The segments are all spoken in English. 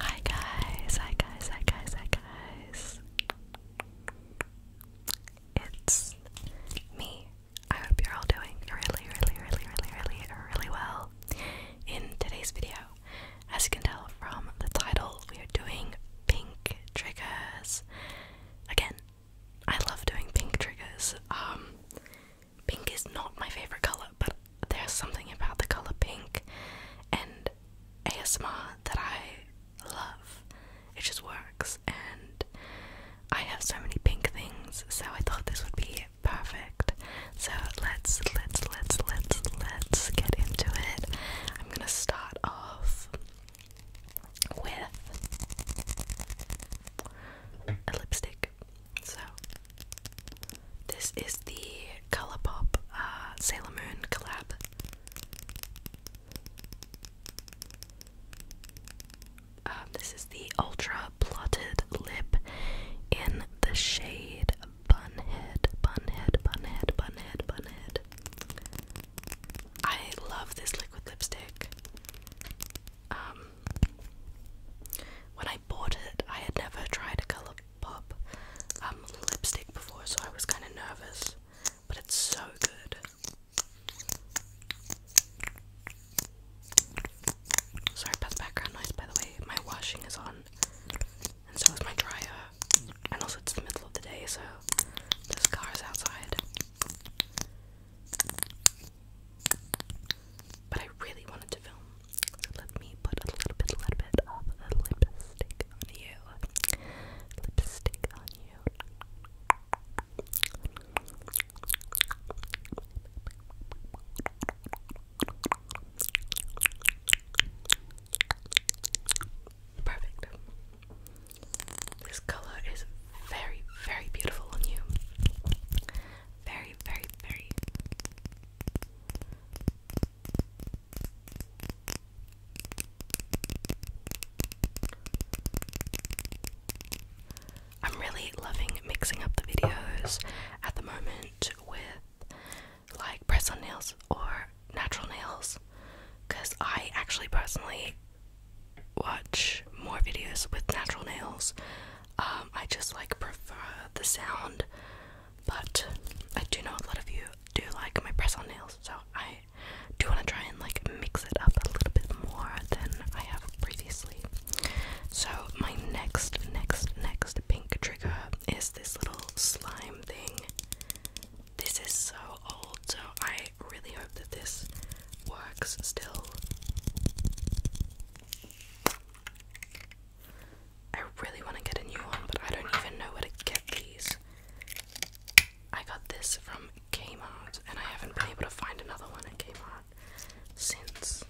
Hi guys, hi guys, hi guys, hi guys. It's me. I hope you're all doing really, really, really, really, really, really well. In today's video, as you can tell from the title, we are doing pink triggers. Again, I love doing pink triggers. Um, pink is not my favorite color, but there's something about the color pink and ASMR that I love. It just works, and I have so many pink things, so I thought this would be perfect. So let's let's let's let's let's get into it. I'm gonna start off with a lipstick. So this is the Colourpop uh, Sailor Moon collab. Um, this is the Ultra Plotted Lip in the shade Bunhead, Bunhead, Bunhead, Bunhead, Bunhead. I love this liquid lipstick. Um, when I bought it, I had never tried a color pop um, lipstick before, so I was kind of nervous. But it's so good. Sorry about the background noise, by the way. My washing is on, and so is my dryer. And also, it's the middle of the day, so there's cars outside. But I really wanted to film, let me put a little bit, a little bit of lipstick on you. Lipstick on you. Perfect. This color is very, very beautiful on you. Very, very, very. I'm really loving mixing up the videos at the moment with like press on nails or natural nails because I actually personally watch more videos with natural nails. Um, I just like prefer the sound, but I do know a lot of you do like my press on nails, so I do want to try and like mix it up a little bit more than I have previously. So, my next, next, next pink trigger is this little slime thing. This is so old, so I really hope that this works still. I really want to get a new one, but I don't even know where to get these. I got this from Kmart, and I haven't been able to find another one at Kmart since.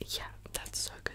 Yeah, that's so good.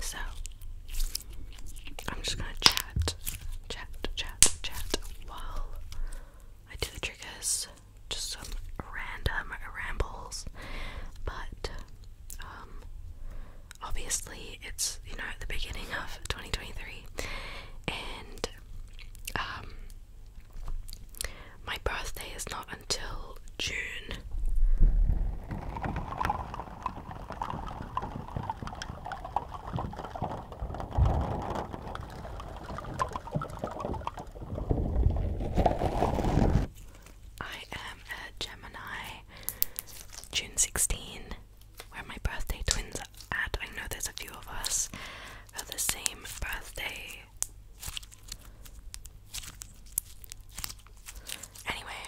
So I'm just gonna chat, chat, chat, chat while I do the triggers. Just some random rambles, but um, obviously, it's you know the beginning of 2023, and um, my birthday is not until June. I am a Gemini, June 16, where my birthday twins are at. I know there's a few of us have the same birthday. Anyway,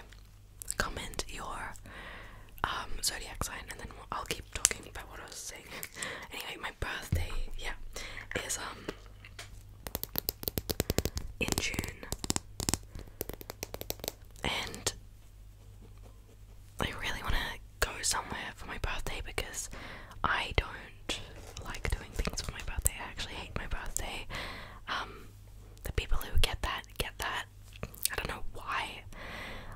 comment your um, zodiac sign and then I'll keep talking about what I was saying. anyway, my birthday, yeah, is um in June, and I really want to go somewhere for my birthday because I don't like doing things for my birthday. I actually hate my birthday. Um, the people who get that get that. I don't know why.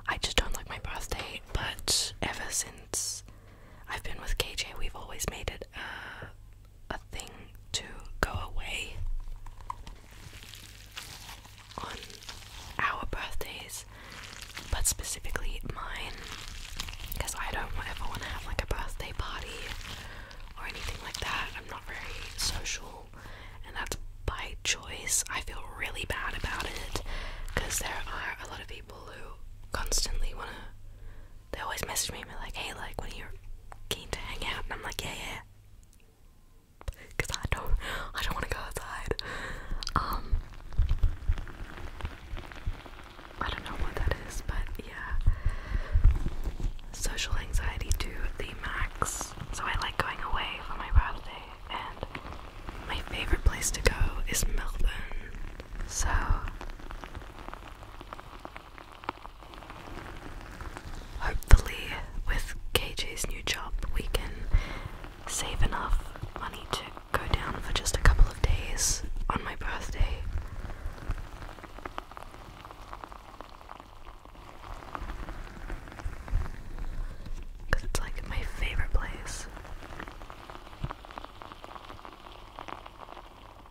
I just don't like my birthday. But ever since I've been with KJ, we've always made it a a thing to go away on our birthdays, but specifically mine, because I don't ever want to have like a birthday party or anything like that. I'm not very social, and that's by choice. I feel really bad about it because there are a lot of people who constantly want to they always message me and be like, hey, like, when you're keen to hang out, and I'm like, yeah, yeah. Cause I don't, I don't want to go outside. Um, I don't know what that is, but yeah. Social anxiety to the max. So I like going away for my birthday, and my favorite place to go is Melbourne. So Hopefully, with KJ's new job, we can save enough money to go down for just a couple of days on my birthday. Because it's like my favorite place.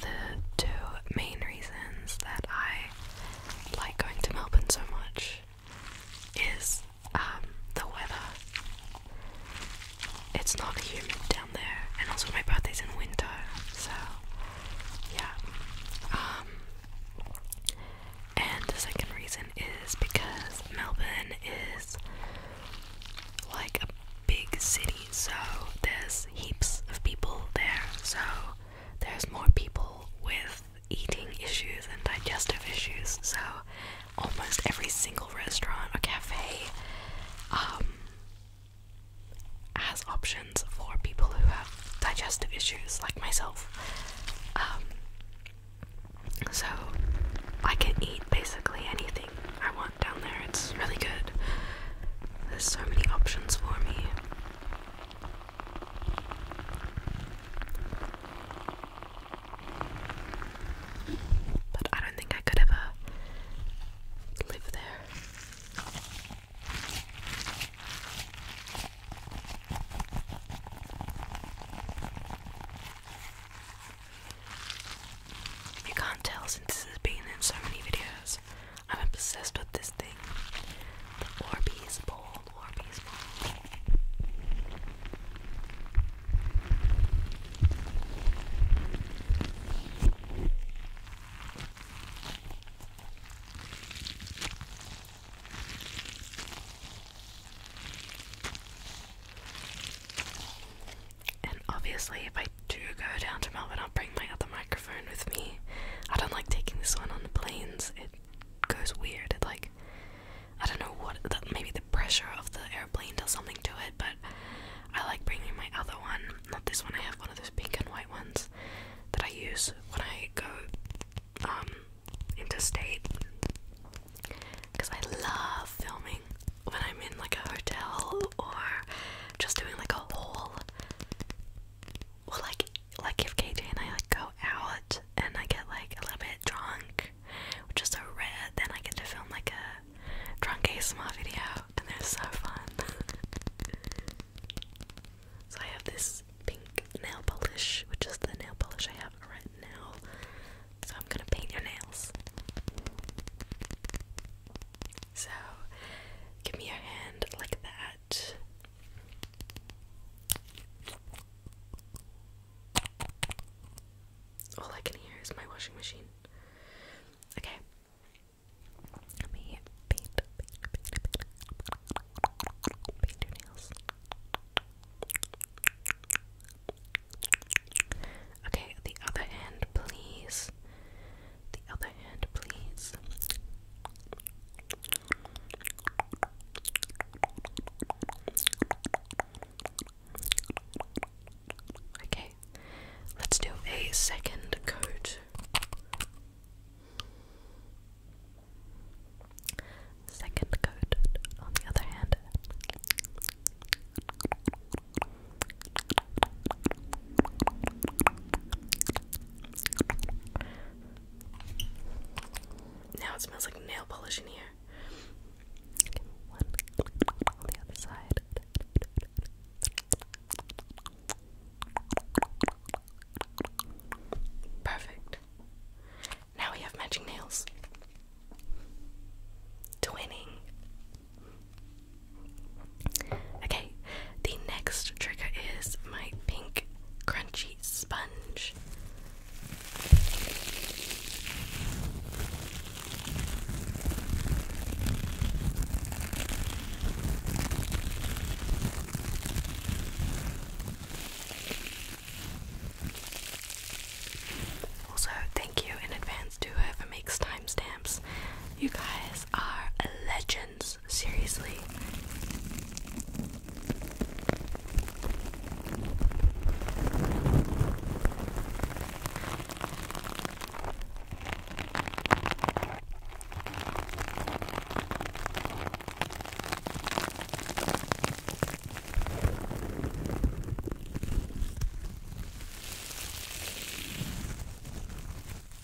The two main reasons that I like going to Melbourne so much is um, the weather. It's not humid down there, and also my birthday's in winter, so yeah. Um, and the second reason is because Melbourne is like a big city so there's heaps of people there, so there's more people with eating issues and digestive issues, so almost every single restaurant or cafe um, has options for people who have digestive issues, like myself. Um, so I can eat basically anything I want down there. It's really good. There's so many options for me. But I don't think I could ever live there. You can't tell since this has been in so many videos. I'm obsessed with this thing. The Orbeez bowl, Orbeez bowl. And obviously, if I to go down to Melbourne, I'll bring my other microphone with me. I don't like taking this one on the planes. It goes weird. It like I don't know what the, maybe the pressure of the airplane does something to it, but I like bringing my other one. Not this one. I have one of those pink and white ones that I use when I go um interstate because I love filming when I'm in like a hotel or just doing like a whole well like like if KJ and I like go out and I get like a little bit drunk, which is a red, then I get to film like a drunk ASMR video and they're so fun. so I have this pink nail polish, which is the nail polish I have right now. So I'm gonna paint your nails. So give me your hand like that. All I can hear is my washing machine. Okay. Let me paint, your nails. Okay, the other hand, please. The other hand, please. Okay, let's do a second coat. Second coat on the other hand. Now it smells like nail polish in here. Perfect. Now we have matching nails. Twinning. Okay, the next trigger is my pink crunchy sponge. Also, thank you in advance to whoever makes timestamps. You guys are legends, seriously.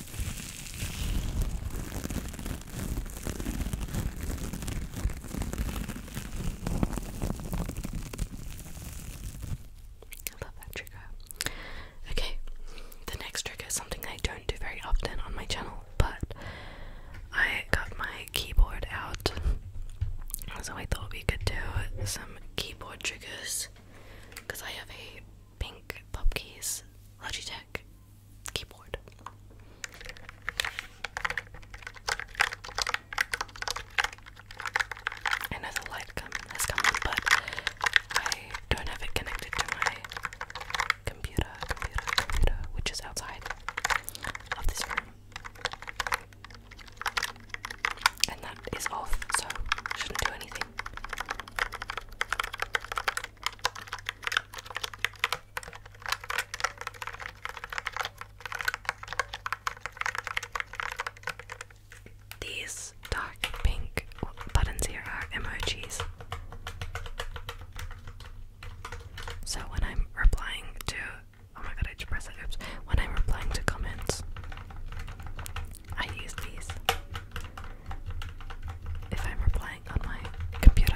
I love that trigger. Okay, the next trick is something I don't do very often on my channel, but I got my keyboard out, so I thought we could do some keyboard triggers because I have a pink pop keys Logitech keyboard. I light has come on, but I don't have it connected to my computer, computer, computer, which is outside of this room. And that is off, so shouldn't do anything. These dark pink buttons here are emojis. So when I'm replying to oh my god, I just pressed it. Oops. When I'm replying to comments, I use these if I'm replying on my computer.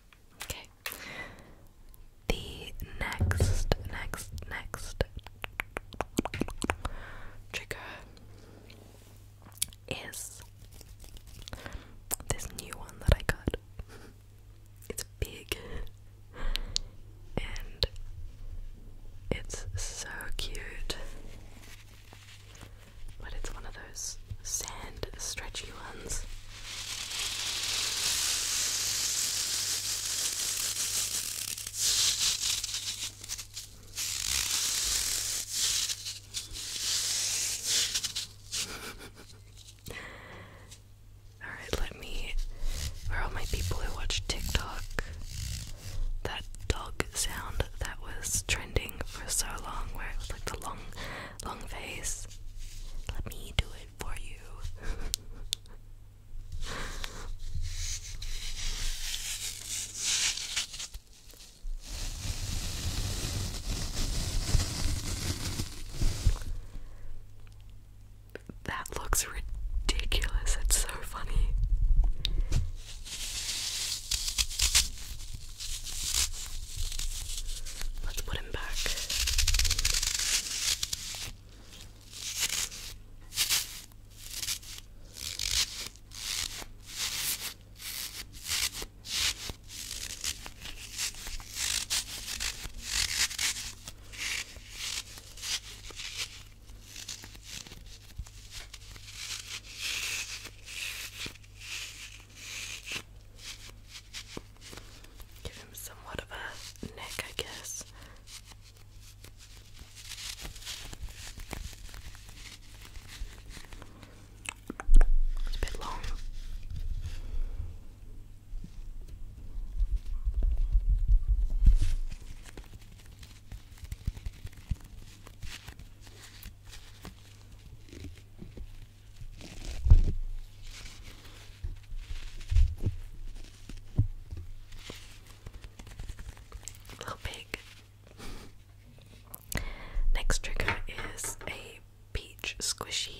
Okay. The next, next, next trigger is this new one that I got. It's big and it's so cute but it's one of those sand stretchy ones. Alright, let me. For all my people who watch TikTok, that dog sound that was trending for so long, where it was like the long long face. Let me do it for you. That looks ridiculous. It's so funny. Let's put him back. Give him somewhat of a neck, I guess. It's a bit long. Little pig. Next trigger is a peach squishy.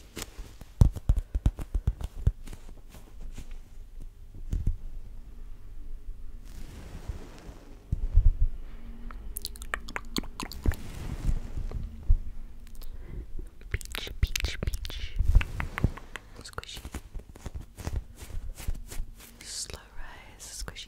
Peach, peach, peach. Squishy. Slow rise, squishy.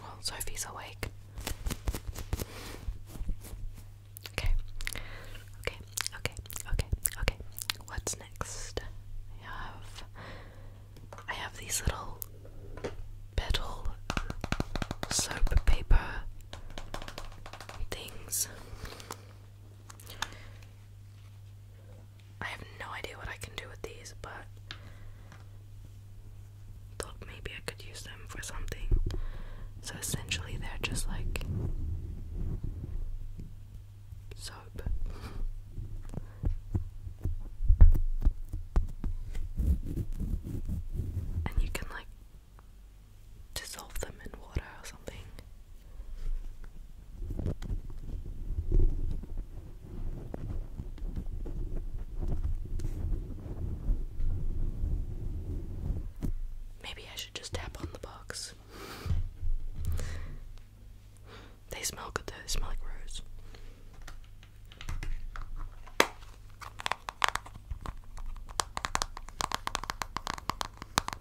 Well, Sophie's awake. Okay. Okay, okay, okay, okay. What's next? I have I have these little petal soap paper things. I have no idea what I can do with these, but maybe I could use them for something. So essentially, they're just like soap. and you can like dissolve them in water or something. Maybe I should just tap on the box. They smell good though, they smell like rose.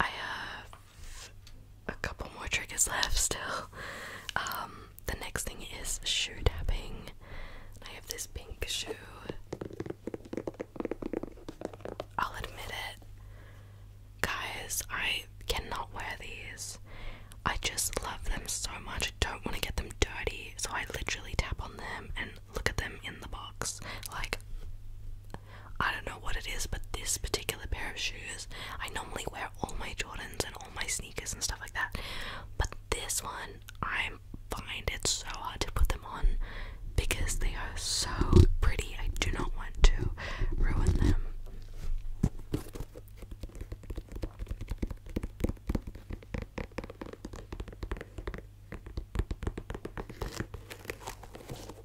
I have a couple more triggers left still. Um, the next thing is shoe tapping. I have this pink shoe. I'll admit it. Guys, I cannot wear these. I just love them so much. I don't want to get them dirty, so I literally tap on them and look at them in the box. Like, I don't know what it is, but this particular pair of shoes, I normally wear all my Jordans and all my sneakers and stuff like that. But this one, I find it's so hard to put them on because they are so pretty. I do not want to ruin them.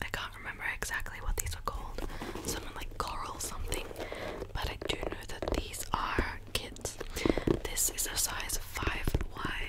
I can't remember exactly what these are called. Someone like coral something, but I do know that these are kids. This is a size 5Y.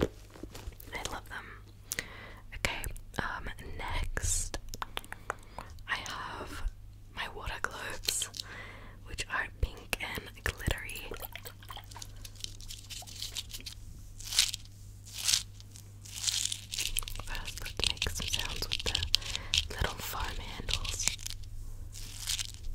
I love them. Okay, um, next I have my water globes, which are pink and glittery. First, let's make some sounds with the little foam handles.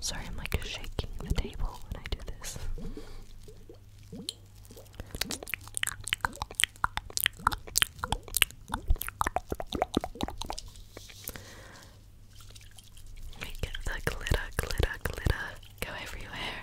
Sorry, I'm like shaking the table when I do this. Make the glitter, glitter, glitter go everywhere.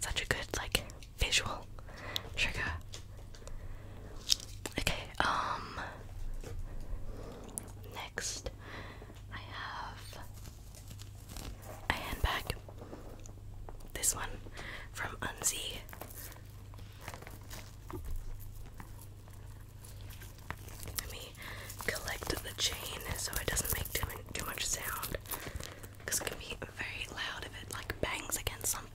Such a good like visual trigger. Okay, um next I have a handbag. This one from Unzi. Let me collect the chain so it doesn't make too, too much sound because it can be very loud if it like bangs against something.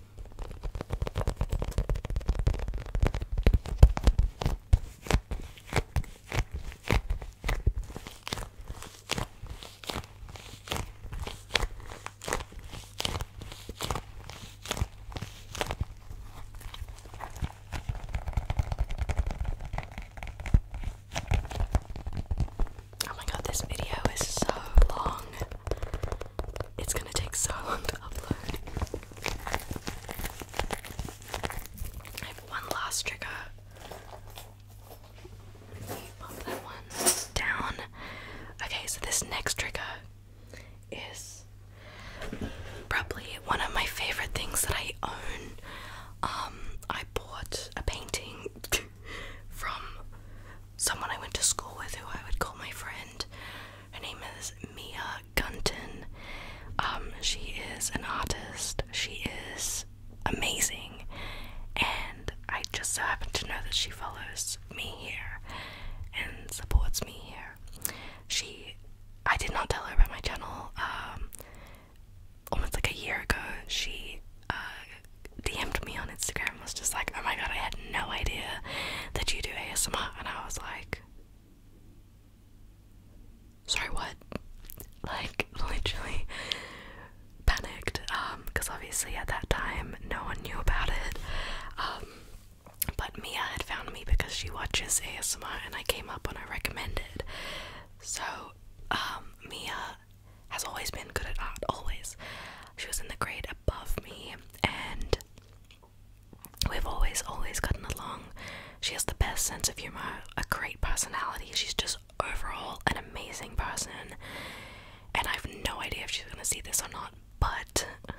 Oh my god, this video is so long it's gonna take so long to upload. I have one last trigger. Pop that one down. Okay, so this next trigger is probably one of my favorite things that I own. Um, I bought a painting from someone I went to school with who I would call my friend. Her name is Mia Gunton. Um, she is an artist. She is amazing. And I just so happen to know that she follows me here and supports me here. She I did not tell her about my channel. Um almost like a year ago she uh DM'd me on Instagram I was just like, oh my god, I had no idea that you do ASMR. And I was like, sorry, what? Like, literally panicked. Um, because obviously at that time, no one knew about it. Um, but Mia had found me because she watches ASMR and I came up when I recommended. So, um, Mia has always been good at art, always. She was in the grade above me, and We've always, always gotten along. She has the best sense of humor, a great personality. She's just overall an amazing person. And I have no idea if she's going to see this or not, but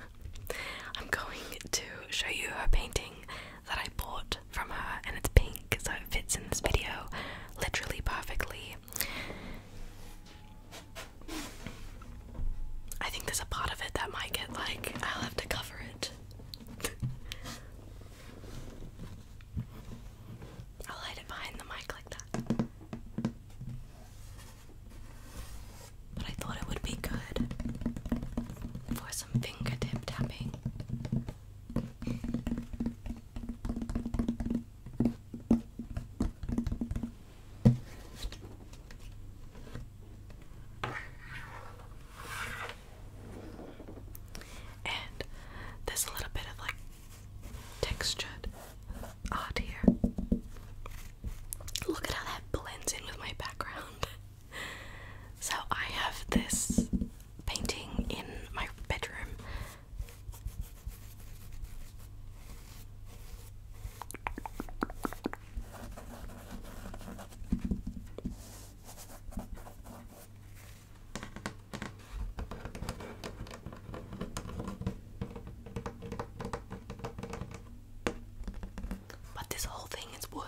I'm going to show you her painting that I bought from her, and it's pink, so it fits in this video literally perfectly. I think there's a part of it that might get like, I'll have to cover it. I'll hide it behind the mic like that. But I thought it would be good for some fingertip tapping. And there's a little bit of like textured art here. Look at how that blends in with my background. so I have this painting in my bedroom but this whole thing is wood.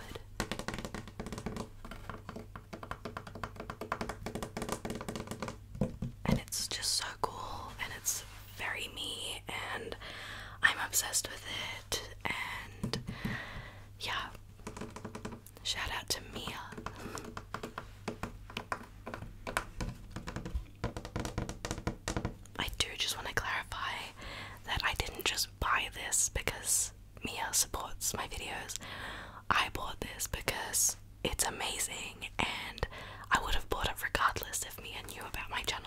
And it's just so cool and it's very me and I'm obsessed with it and yeah. Shout out to Mia. I do just want to clarify that I didn't just buy this because Mia supports my videos. I bought this because it's amazing and I would have bought it regardless if Mia knew about my channel.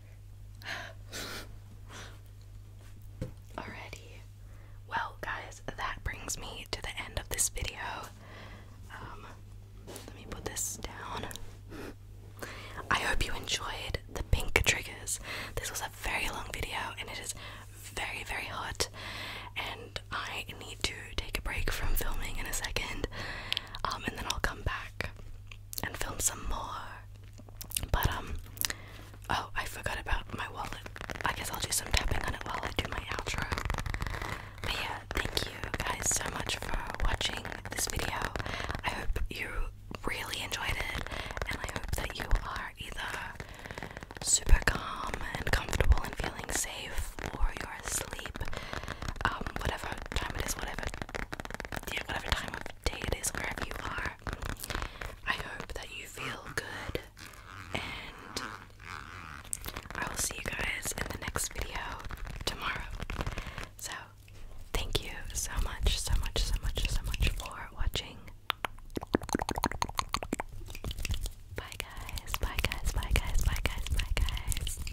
Alrighty. Well, guys, that brings me to the end of this video. Um, let me put this down. I hope you enjoyed the pink triggers. This was a very long video and it is very, very hot, and I need to take a break from filming in a second, um, and then I'll come back and film some more. But um oh I forgot about my wallet. I guess I'll do some tapping on it while I do my outro. But yeah, thank you guys so much for watching this video. I hope you really enjoyed it and I hope that you are either super calm and comfortable and feeling safe or you're asleep. Um whatever time it is, whatever yeah, whatever time of day it is, wherever you are. I hope that you feel good, and I will see you guys in the next video tomorrow. So, thank you so much, so much, so much, so much for watching. Bye, guys, bye, guys, bye, guys, bye, guys, bye, guys.